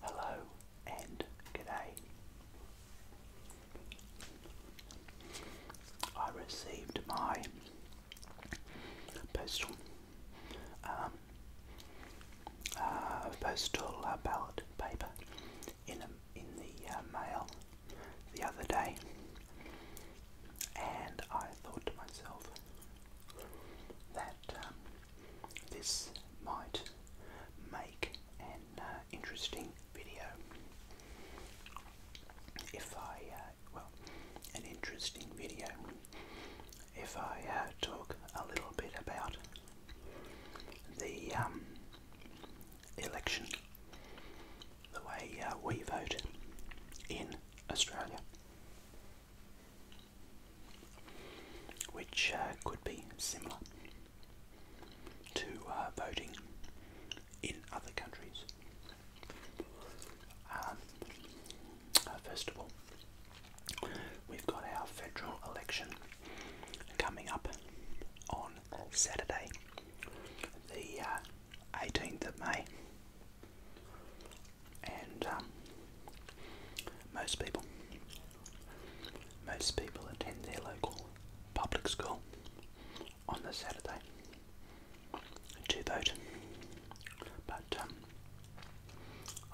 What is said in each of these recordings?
Hello and good day. I received my postal um, uh, postal uh, ballot paper in the uh, mail the other day, and I thought to myself that um, this might make an uh, interesting video. If I, uh, well, an interesting video. If I uh, talk a little bit about the um, election, the way uh, we vote in Australia which uh, could be similar to uh, voting in other countries. Um, uh, first of all, we've got our federal election coming up on Saturday, the 18th of May and um, most people, most people attend their local public school on the Saturday to vote, but um,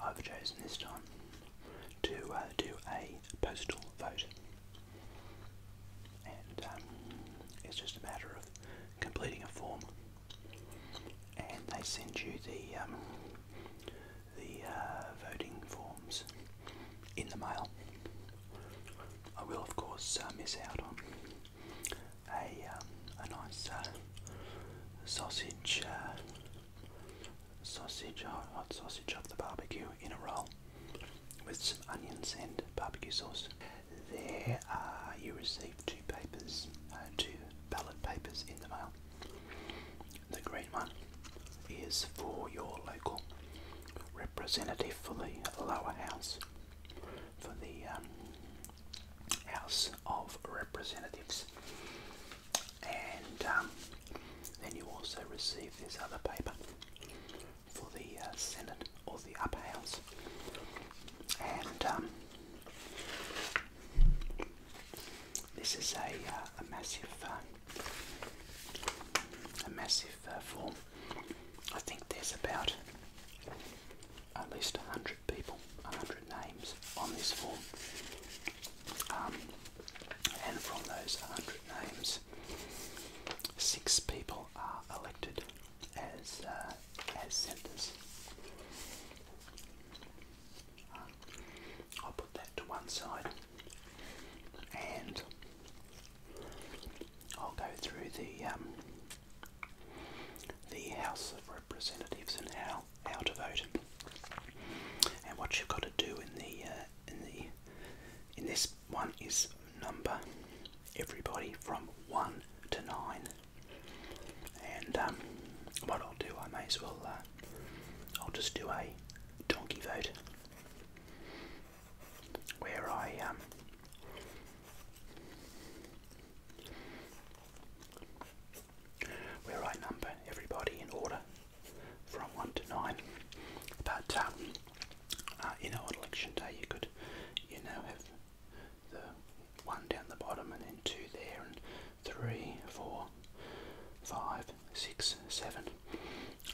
I've chosen this time to uh, do a postal vote, and um, it's just a matter of completing a form and they send you the um, the uh, voting forms in the mail. I will, of course, uh, miss out on a um, a nice uh, sausage sausage hot oh, sausage off the barbecue in a roll with some onions and barbecue sauce. There, you receive two papers, two ballot papers in the mail. The green one is for your local representative for the lower house, for the um, House of Representatives. And um, then you also receive this other paper for the uh, Senate or the upper house. And um, this is a, uh, a massive, uh, a massive uh, form. I think there's about at least a hundred people, a hundred names on this form, um, and from those hundred names, six people are elected as as senators. I'll put that to one side and I'll go through the um, the House of Representatives and how how to vote and what you've got to do in the uh, in the in this one is number everybody from one to nine and um, what I'll do, I may as well, uh, I'll just do a donkey vote where I um, where I number everybody in order from one to nine. But you know, on election day, you could you know have the one down the bottom and then two there and three, four, five, six, seven,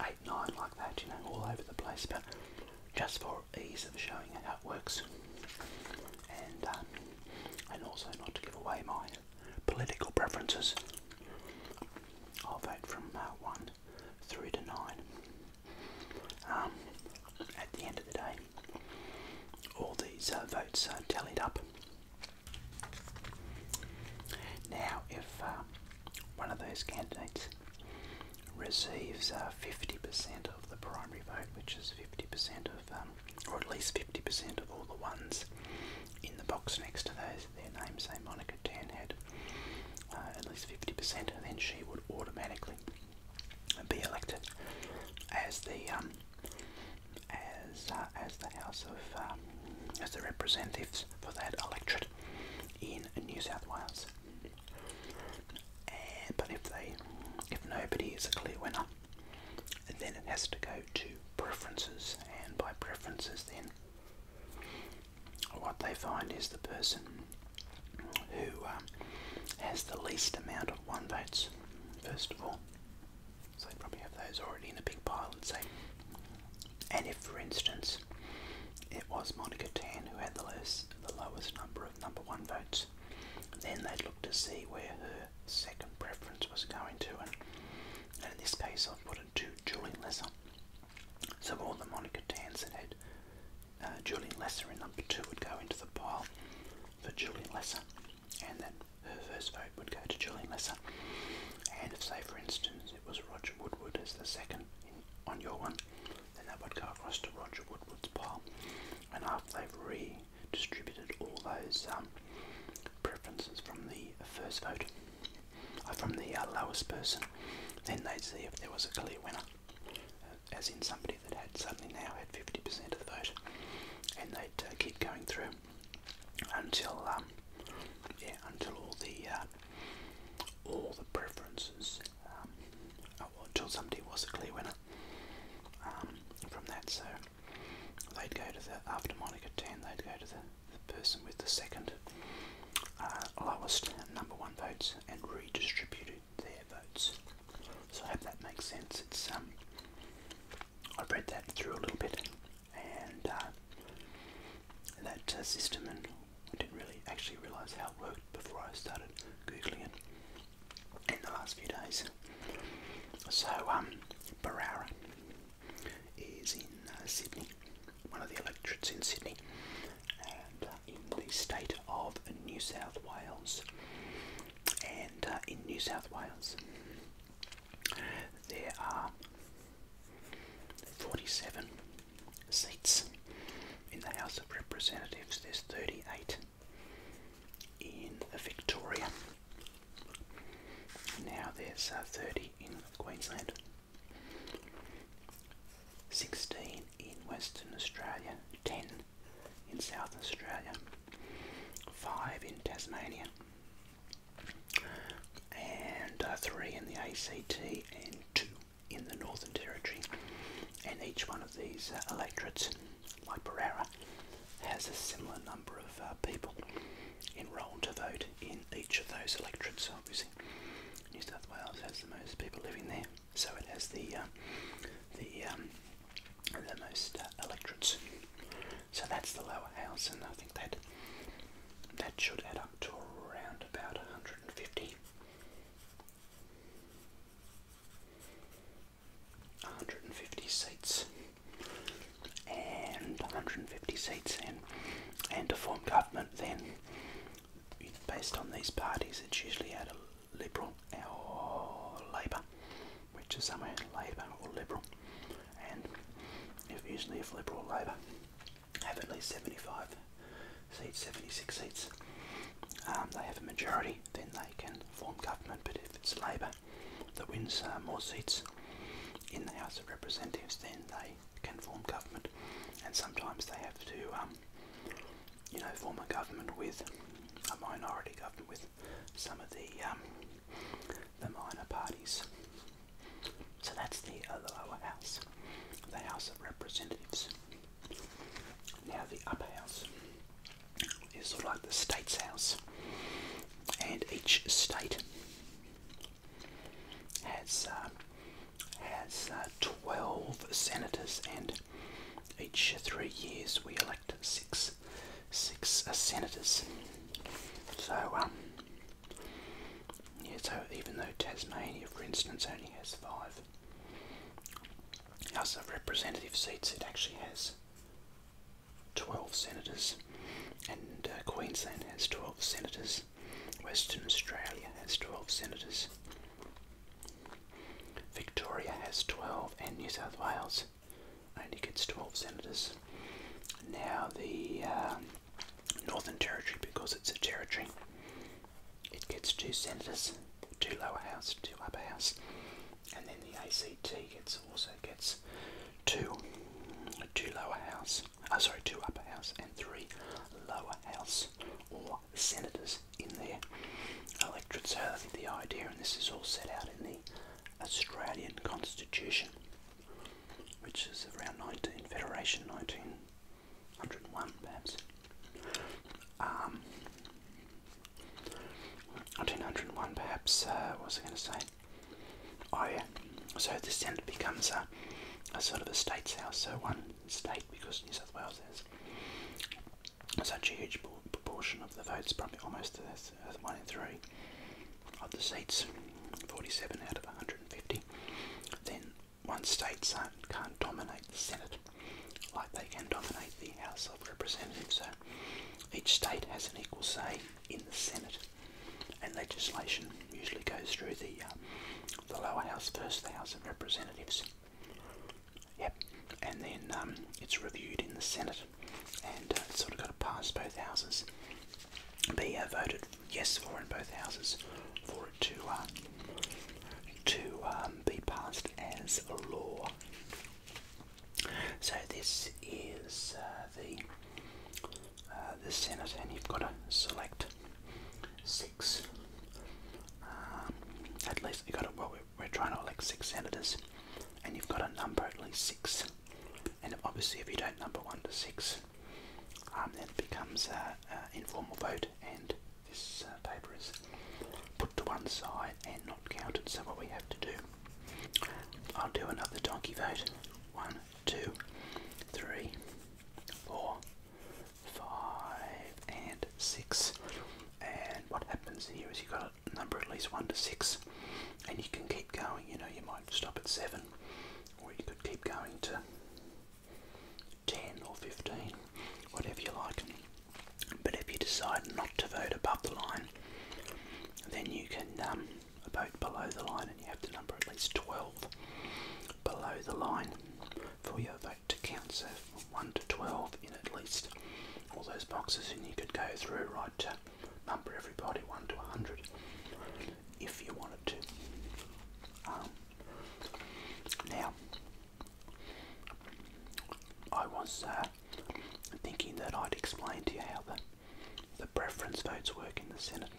eight, nine, like that, you know, all over the place, but just for ease of showing how it works, and um, and also not to give away my political preferences. I'll vote from uh, one through to nine. Um, at the end of the day, all these uh, votes uh, tallied up. Now, if uh, one of those candidates receives 50% uh, of the primary vote, which is 50% of, um, or at least 50% of all the ones in the box next to those, their names, say Monica Tan had at least 50%, then she would automatically be elected as the um, as uh, as the House of um, as the representatives for that electorate in New South Wales. but if they if nobody is a clear winner, then it has to go to preferences, and by preferences, then what they find is the person who um, has the least amount of one votes, first of all. So they probably have those already in a big pile, and say. And if, for instance, it was Monica Tan who had the lowest, the lowest number of number one votes, then they'd look to see where her second preference was going to. And, in this case, I've put in two Julian Lesser. So all the Monica Tans that had uh, Julian Lesser in number two would go into the pile for Julian Lesser and then her first vote would go to Julie Messer. And if, say, for instance, it was Roger Woodward as the second on your one, then that would go across to Roger Woodward's pile. And after they've redistributed all those um, preferences from the first vote, uh, from the uh, lowest person, then they'd see if there was a clear winner, uh, as in somebody party that had suddenly now had 50% of the vote, and they'd uh, keep going through until um, yeah, until all the uh, all the preferences, um, oh, until somebody was a clear winner um, from that. So they'd go to the after Monica ten, they'd go to the, person with the second uh, lowest number one votes and redistributed their votes. So I hope that makes sense. It's um, I read that through a little bit and uh, that uh, system, and I didn't really actually realise how it worked before I started googling it in the last few days. So, um, Barara is in uh, Sydney, one of the electorates in Sydney, and in the state of New South Wales and uh, in New South Wales there are 47 seats in the House of Representatives, there's 38 in Victoria. Now there's uh, 30 in Queensland, 16 in Western Australia, 10 in South Australia, five in Tasmania, and uh, three in the ACT, and two in the Northern Territory. And each one of these uh, electorates, like Barara, has a similar number of uh, people enrolled to vote in each of those electorates. Obviously, New South Wales has the most people living there, so it has the the um, the most uh, So that's the lower house, and I think that that should add up to around about 150. 150 seats and 150 seats in, and to form government then based on these parties it's usually out of liberal or labour, which is somewhere labour or liberal. And if usually if liberal or labour have at least 75 seats, 76 seats, um, they have a majority, then they can form government. But if it's labour that wins uh, more seats in the House of Representatives, then they can form government. And sometimes they have to, um, you know, form a government with a minority government with some of the um, the minor parties. So that's the, lower house, the House of Representatives. Now the upper house is sort of like the state's house, and each state has uh, has uh, twelve senators, and each three years we elect six six uh, senators. So um, yeah. So even though Tasmania, for instance, only has five as of Representative seats, it actually has twelve senators, and uh, Queensland has twelve senators. Western Australia has twelve senators. Victoria has 12 and New South Wales only gets 12 senators. Now the um, Northern Territory, because it's a territory, it gets two senators, two lower house, two upper house, and then the ACT gets also gets two, two lower house, uh, sorry, two upper house and three lower house or senators in their electorate. So I think the idea, and this is all set out in the Australian Constitution, which is around 19 Federation 1901, perhaps. 1901, um, perhaps. Uh, what was I going to say? Oh yeah. So the Senate becomes a, a sort of a state's house, so one state because New South Wales has such a huge proportion of the votes, probably almost one in three of the seats, 47 out of 150, then one state can't dominate the Senate like they can dominate the House of Representatives. So each state has an equal say in the Senate, and legislation usually goes through the uh, the lower house first, the House of Representatives. Yep, and then um, it's reviewed in the Senate and uh, it's sort of got to pass both houses, be uh, voted yes for in both houses for it to, uh, to um, be passed as a law. So this is uh, the uh, the Senate, and you've got to select six. Um, at least you got to well, we're trying to elect six senators, and you've got a number at least six. And obviously, if you don't number one to six, um, then becomes an informal vote, and this uh, paper is put to one side and not counted. So, what we have to do, I'll do another donkey vote one, two, three, four, five, and six. And what happens here is you've got number at least 1 to 6, and you can keep going. You know, you might stop at 7, or you could keep going to 10 or 15, whatever you like. But if you decide not to vote above the line, then you can um, vote below the line, and you have to number at least 12 below the line for your vote to count. So, 1 to 12 in at least all those boxes and you could go through, right, to number everybody 1 to 100 if you wanted to. Um, now, I was uh, thinking that I'd explain to you how the, the preference votes work in the Senate,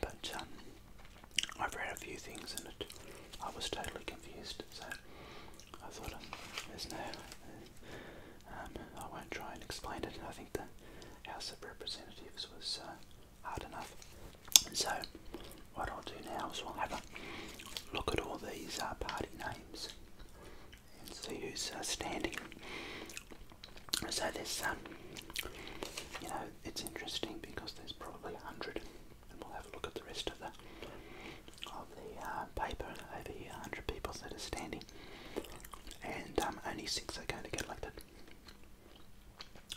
but um, I've read a few things and it, I was totally confused, so I thought um, there's no um, I won't try and explain it. I think the House of Representatives was uh, hard enough. So, what I'll do now is we'll have a look at all these uh, party names and see who's uh, standing. So this, um, you know, it's interesting because there's probably a hundred, and we'll have a look at the rest of the of the uh, paper over here, 100 people that are standing, and um, only six are going to get elected.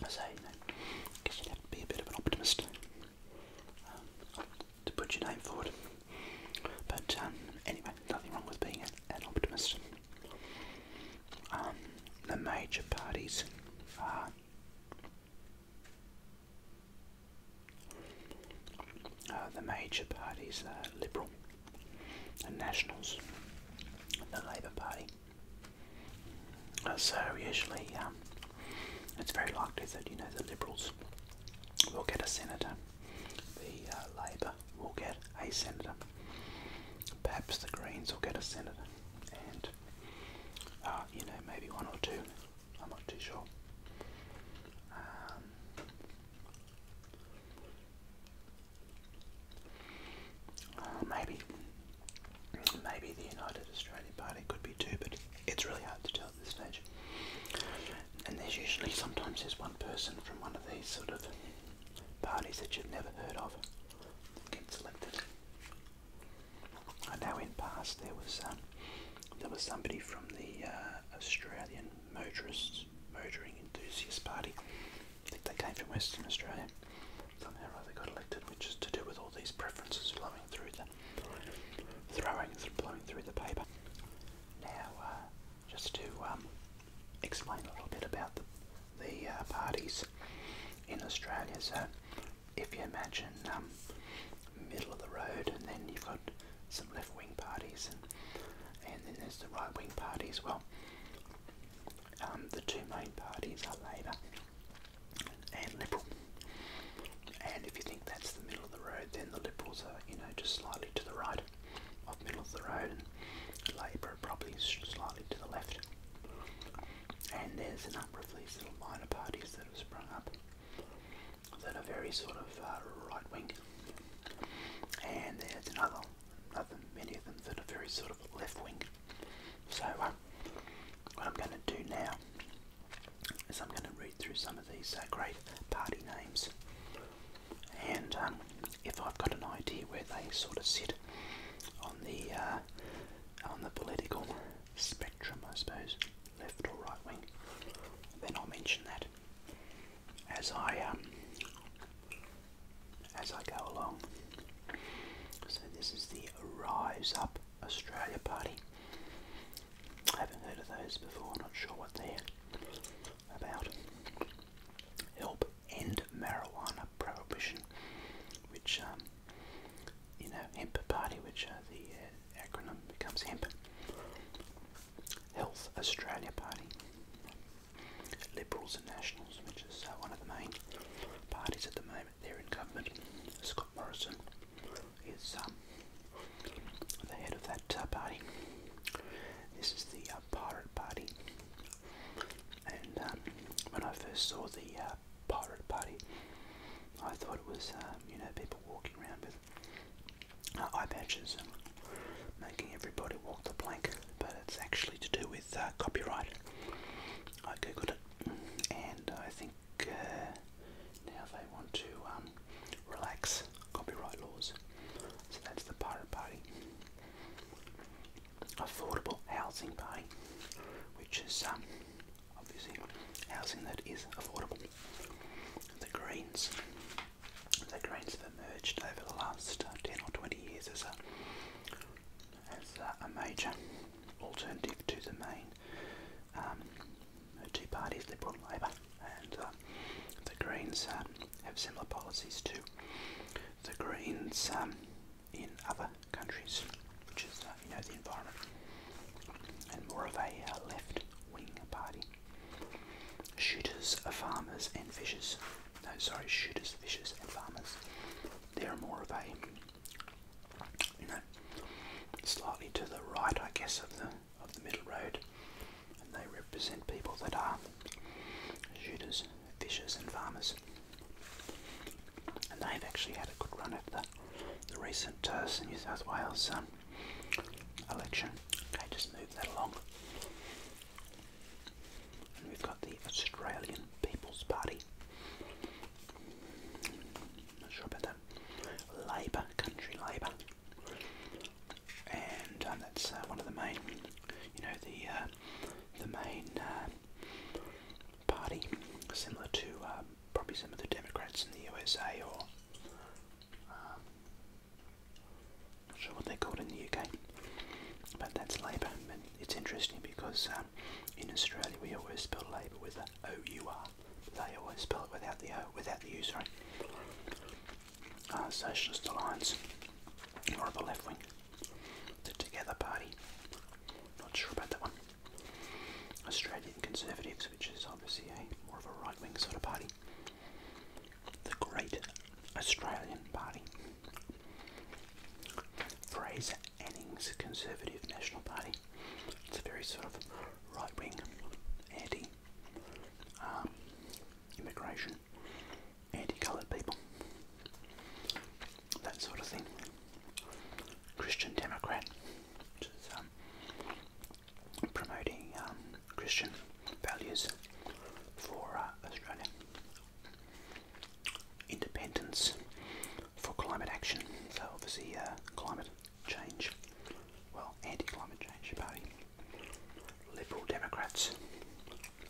I say, know, I you have to be a bit of an optimist um, to put your name forward. But um, anyway, nothing wrong with being an, optimist. the major parties uh, the major parties are Liberal and Nationals and the Labour Party. Uh, so usually um, it's very likely that you know the Liberals will get a senator, the uh, Labour will get a senator, perhaps the Greens will get a senator, and you know maybe one or two I'm not too sure. Um, oh, maybe, maybe the United Australian Party could be too, but it's really hard to tell at this stage. And there's usually, sometimes there's one person from one of these sort of parties that you've never heard of gets elected. I know in past there was um, there was somebody from the uh, Australian Motorists, Motoring Enthusiast Party. I think they came from Western Australia. Somehow or other got elected, which is to do with all these preferences flowing through the throwing, blowing through the paper. Now, uh, just to um, explain a little bit about the, uh, parties in Australia. So, if you imagine um, middle of the road, and then you've got some left wing parties, and, then there's the right wing party as well. Um, the two main parties are Labour and Liberal. And if you think that's the middle of the road, then the Liberals are, you know, just slightly to the right of middle of the road, and Labour probably slightly to the left. And there's a number of these little minor parties that have sprung up that are very sort of uh, right wing, and there's another, another many of them that are very sort of left wing. So uh, what I'm going to do now is I'm going to read through some of these uh, great party names, and um, if I've got an idea where they sort of sit on the on the political spectrum, I suppose left or right wing. Then I'll mention that as I um, as I go along. So this is the Rise Up Australia Party. I haven't heard of those before. Not sure what they're about. Help end marijuana prohibition, which um, you know, hemp party, which are the uh, acronym becomes HEMP. Health Australia Party. Liberals and Nationals, which is uh, one of the main parties at the moment, they're in government. Scott Morrison is um, the head of that uh, party. This is the uh, Pirate Party. And um, when I first saw the Pirate Party, I thought it was, um, you know, people walking around with uh, eye patches and making everybody walk the plank, but it's actually to do with uh, copyright. I googled it, and I think uh, now they want to um, relax copyright laws. So that's the Pirate Party. Affordable Housing Party, which is um, obviously housing that is affordable. The Greens. The Greens have emerged over the last uh, 10 or 20 years as a, as a, major alternative to the main um, two parties, Liberal Labor. And uh, the Greens um, have similar policies to the Greens um, in other countries, which is, uh, you know, the environment, and more of a left wing party. Shooters are farmers and fishers. No, sorry, shooters, fishers, and farmers. They're more of a, you know, slightly to the right, I guess, of the of the middle road, and they represent people that are shooters, fishers, and farmers. And they've actually had a good run at the the recent uh, New South Wales um, election. Okay, just move that along. we've got the Australian People's Party. Not sure about that. Labour, Country Labour. And um, that's uh, one of the main, you know, the uh, the main uh, party, similar to probably some of the Democrats in the USA or um, not sure what they're called in the UK, but that's Labour. And it's interesting because um, in Australia we always spell Labour with a O U R. They always spell it without the O, without the U. Sorry. Uh, Socialist Alliance, or the left wing, the Together Party. Not sure about that one. Australia Conservatives, which is obviously a more of a right wing sort of party, the Great Australian Party, Fraser Anning's Conservative National Party. It's a very sort of right wing, anti um, immigration, anti coloured people, that sort of thing. Christian Democrat, promoting um, Christian values for uh, Australia, independence for climate action. So obviously, uh, climate change, well, anti-climate change party, Liberal Democrats.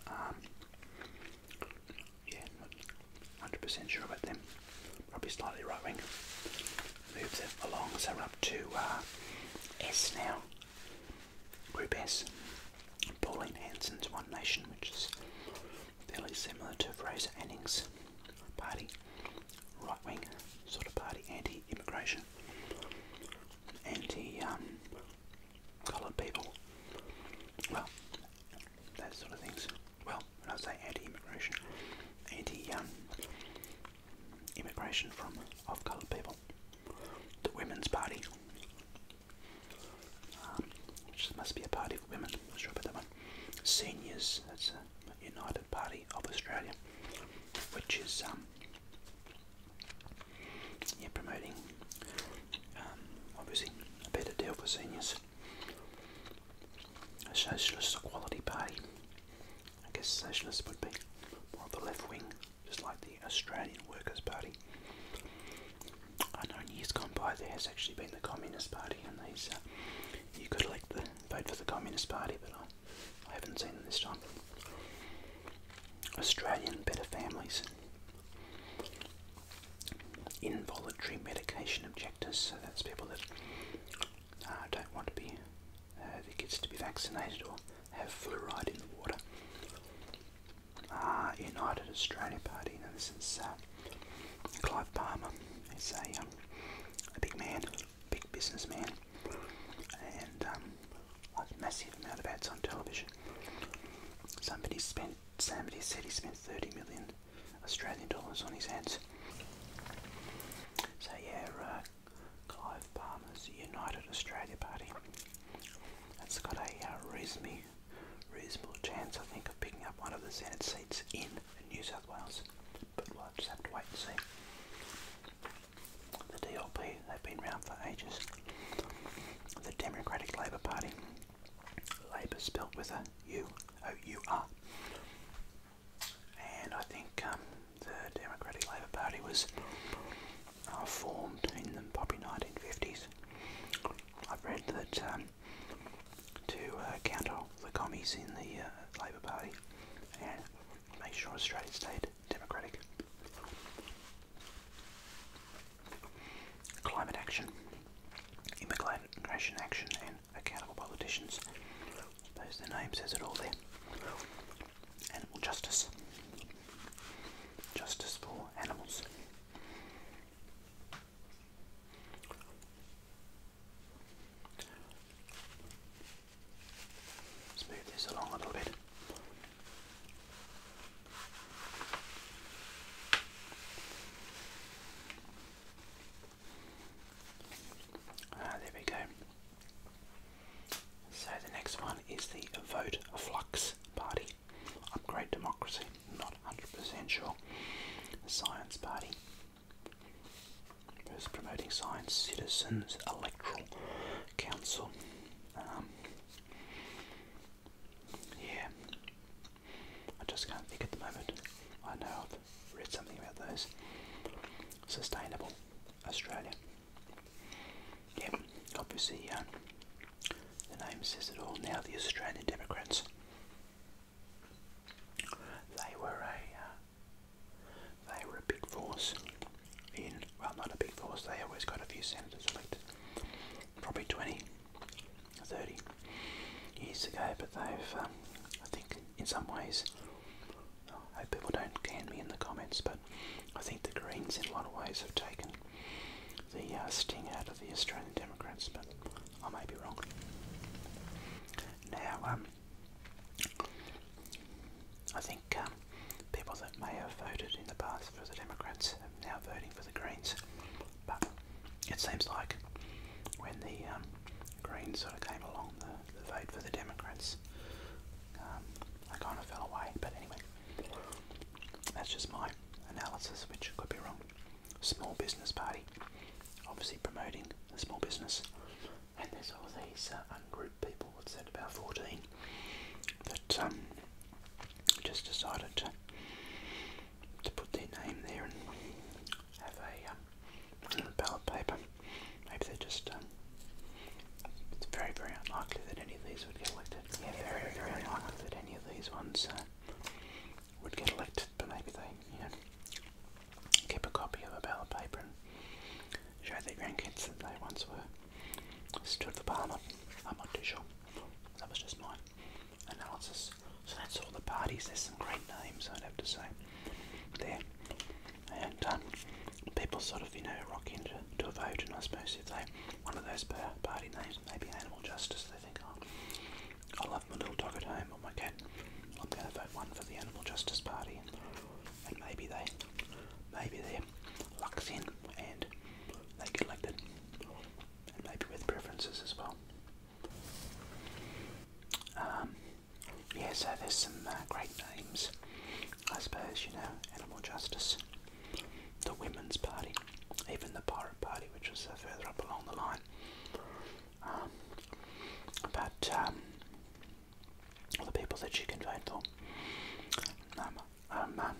Um, yeah, 100% sure about them probably slightly right wing. Moves it along, so we're up to uh, S now. Group S. Pauline Hanson's One Nation, which is fairly similar to Fraser Anning's party, right wing sort of party, anti immigration, um, anti coloured people. Well, that sort of things. Well, when I say anti immigration, anti um, immigration from of coloured people. The Women's Party, um, which must be a party for women, I'm not that one. Seniors, that's United Party of Australia, which is um, yeah, promoting um, obviously a better deal for seniors. A Socialist Equality Party, I guess secessionists would be more of the left wing, just like the Australian Workers' Party. I know in years gone by there has actually been the Communist Party, and these uh, you could elect the vote for the Communist Party, but I, haven't seen them this time. Australian Better Families. Involuntary medication objectors, so that's people that uh, don't want to be uh, that gets to be vaccinated or have fluoride in the water. Uh, United Australia Party, now this is uh, Clive Palmer, he's a, um, a big man, big businessman, and um, a massive amount of ads on television. Somebody spent, somebody said he spent 30 million Australian dollars on his ads. So yeah, uh, Clive Palmer's United Australia Party. that has got a uh, reasonable chance, I think, of picking up one of the Senate seats in New South Wales, but we'll just have to wait and see. The DLP, they've been around for ages. The Democratic Labor Party, Labor spelt with a U, O-U-R. Oh, and I think um, the Democratic Labour Party was uh, formed in the probably 1950s. I've read that um, to uh, counter the commies in the uh, Labour Party and make sure Australia stayed democratic. Climate action, immigration action, and accountable politicians. I suppose the name says it all there. Animal justice. Justice for animals. let this along a little bit. Ah, there we go. So the next one is the Vote Flux Party. Upgrade Democracy. Not 100% sure. Science Party. First promoting science, citizens, electoral council. Um, yeah, I just can't think at the moment. I know I've read something about those sustainable Australia. Yep, obviously uh, the name says it all. Now the Australian Democrats, they were a, uh, they were a big force in, well not a big force, they always got a few senators elected, probably 20, 30 years ago, but they've, um, I think in some ways I hope people don't can me in the comments, but I think the Greens in a lot of ways have taken the uh, sting out of the Australian Democrats, but I may be wrong. Now, um, I think um, people that may have voted in the past for the Democrats are now voting for the Greens, but it seems like when the um, Greens sort of came along the, the vote for the Democrats. Um, I kind of fell away, but anyway, that's just my analysis, which could be wrong. Small Business Party, obviously promoting the small business, and there's all these uh, ungrouped people, what's that, about 14, that um, just decided to, to put their name there and have a um, ballot paper. Maybe they just. Um, it's very, very unlikely that any of these would get elected. Yeah, very, very, unlikely that any of these ones uh, would get elected, but maybe they, keep a copy of a ballot paper and show their grandkids that they once were stood for parliament. I'm not too sure. That was just my analysis. So that's all the parties. There's some great names, I'd have to say. There and um, people sort of you know rock into to a vote, and I suppose if they one of those party names, maybe animal justice, they think, oh, I love my little dog at home or oh my cat, I'm going to vote one for the animal justice party, and, and maybe they, maybe their luck's in and they get elected, and maybe with preferences as well. Um, yeah, so there's some uh, great names, I suppose, you know, Animal Justice, the Women's Party, even the Pirate Party, which was uh, further up along the line. Um, but um, the people that you can vote for. Um, um, um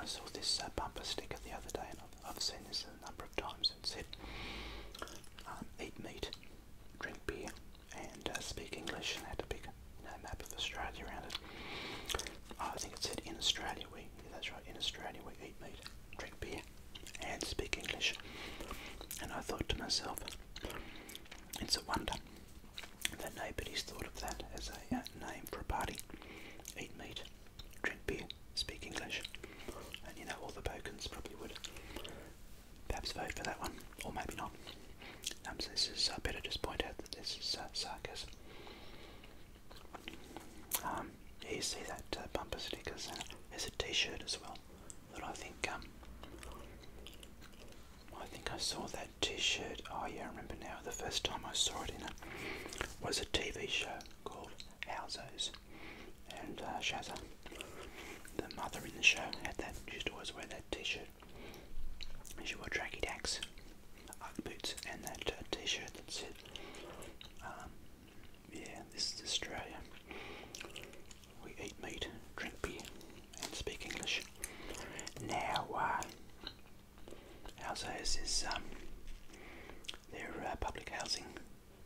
I saw this uh, bumper sticker the other day, and I've seen this a number of times. It said, um, eat meat, drink beer, and uh, speak English, had to pick map of Australia around it. I think it said in Australia we, that's right, in Australia we eat meat, drink beer, and speak English. And I thought to myself, it's a wonder that nobody's thought of that as a uh, name for a party. Eat meat, drink beer, speak English. And you know, all the bokens probably would perhaps vote for that one, or maybe not. Um, so this is, I uh, better just point out that this is uh, um, you see that uh, bumper stickers, and there's a t-shirt as well that I think, um, I think I saw that t-shirt, oh yeah, remember now, the first time I saw it in a, was a TV show called Howzo's and uh, Shazza, the mother in the show, had that. She used always wear that T-shirt. She wore tracky tacks, Ugg boots, and that uh, T-shirt that said, um, "Yeah, this is Australia. We eat meat, drink beer, and speak English." Now, uh, houses is um, their uh, public housing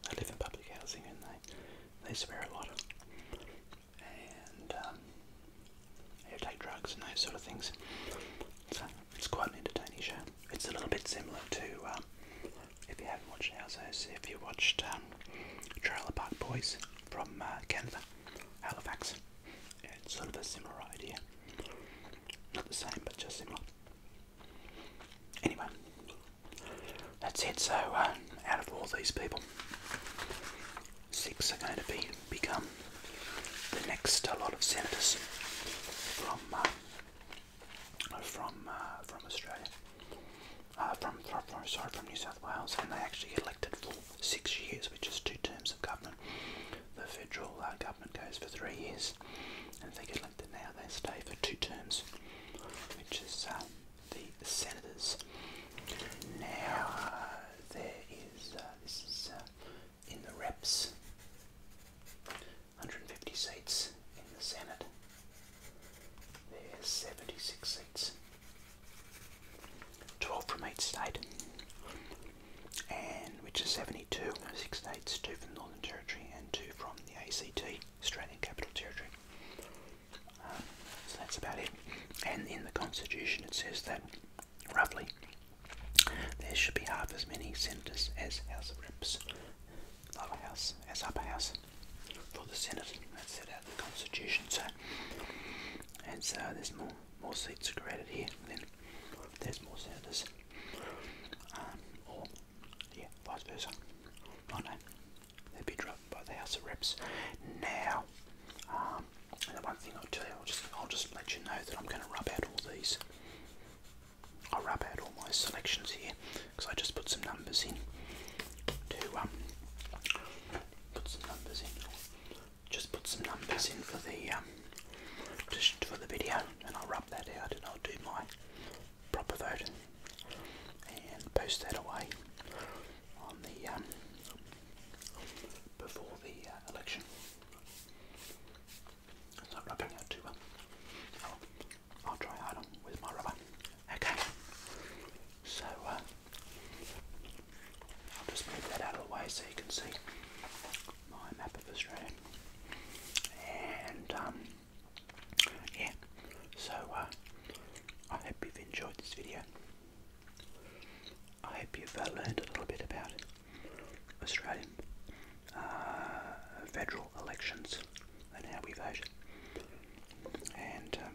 they live in public housing and they, they swear a lot. And um, they take drugs and those sort of things. So it's quite an entertaining show. It's a little bit similar to, um, if you haven't watched Houses, if you watched um, Trailer Park Boys from uh, Canada, Halifax. it's sort of a similar idea. Not the same, but just similar. Anyway, that's it. So uh, out of all these people, six are going to be become the next lot of senators from uh, from uh, from Australia. from, from, from, sorry, from New South Wales, and they actually get elected for six years, which is two terms of government. The federal government goes for three years, and they get elected now, they stay for two terms, which is um, the senators. Now uh, there is uh, this is uh, in the reps, 150 seats in the Senate. There's 76 seats, 12 from each state, and which is 72. Six states, two from the Northern Territory, and two from the ACT, Australian Capital Territory so that's about it. And in the Constitution, it says that roughly there should be half as many senators as House of Reps, lower house as upper house for the Senate. That's set out the Constitution. So, and so there's more more seats created here. Then there's more senators, um, or yeah, vice versa. I they'd be dropped by the House of Reps now. Um, the one thing I'll tell I'll just, I'll just let you know that I'm going to rub out all these. I'll rub out all my selections here because I just put some numbers in to um, put some numbers in. Just put some numbers in for the um, just for the video, and I'll rub that out, and I'll do my proper vote and post that away on the um, before the uh, election. not rubbing out too well. Oh, I'll try harder with my rubber. Okay, so uh, I'll just move that out of the way so you can see my map of Australia. And um, yeah, so uh, I hope you've enjoyed this video. I hope you've uh, learned a little bit about Australian uh, federal elections and how we vote. And um,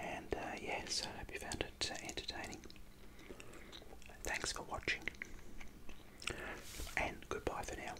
and yes, I hope you found it entertaining. Thanks for watching, and goodbye for now.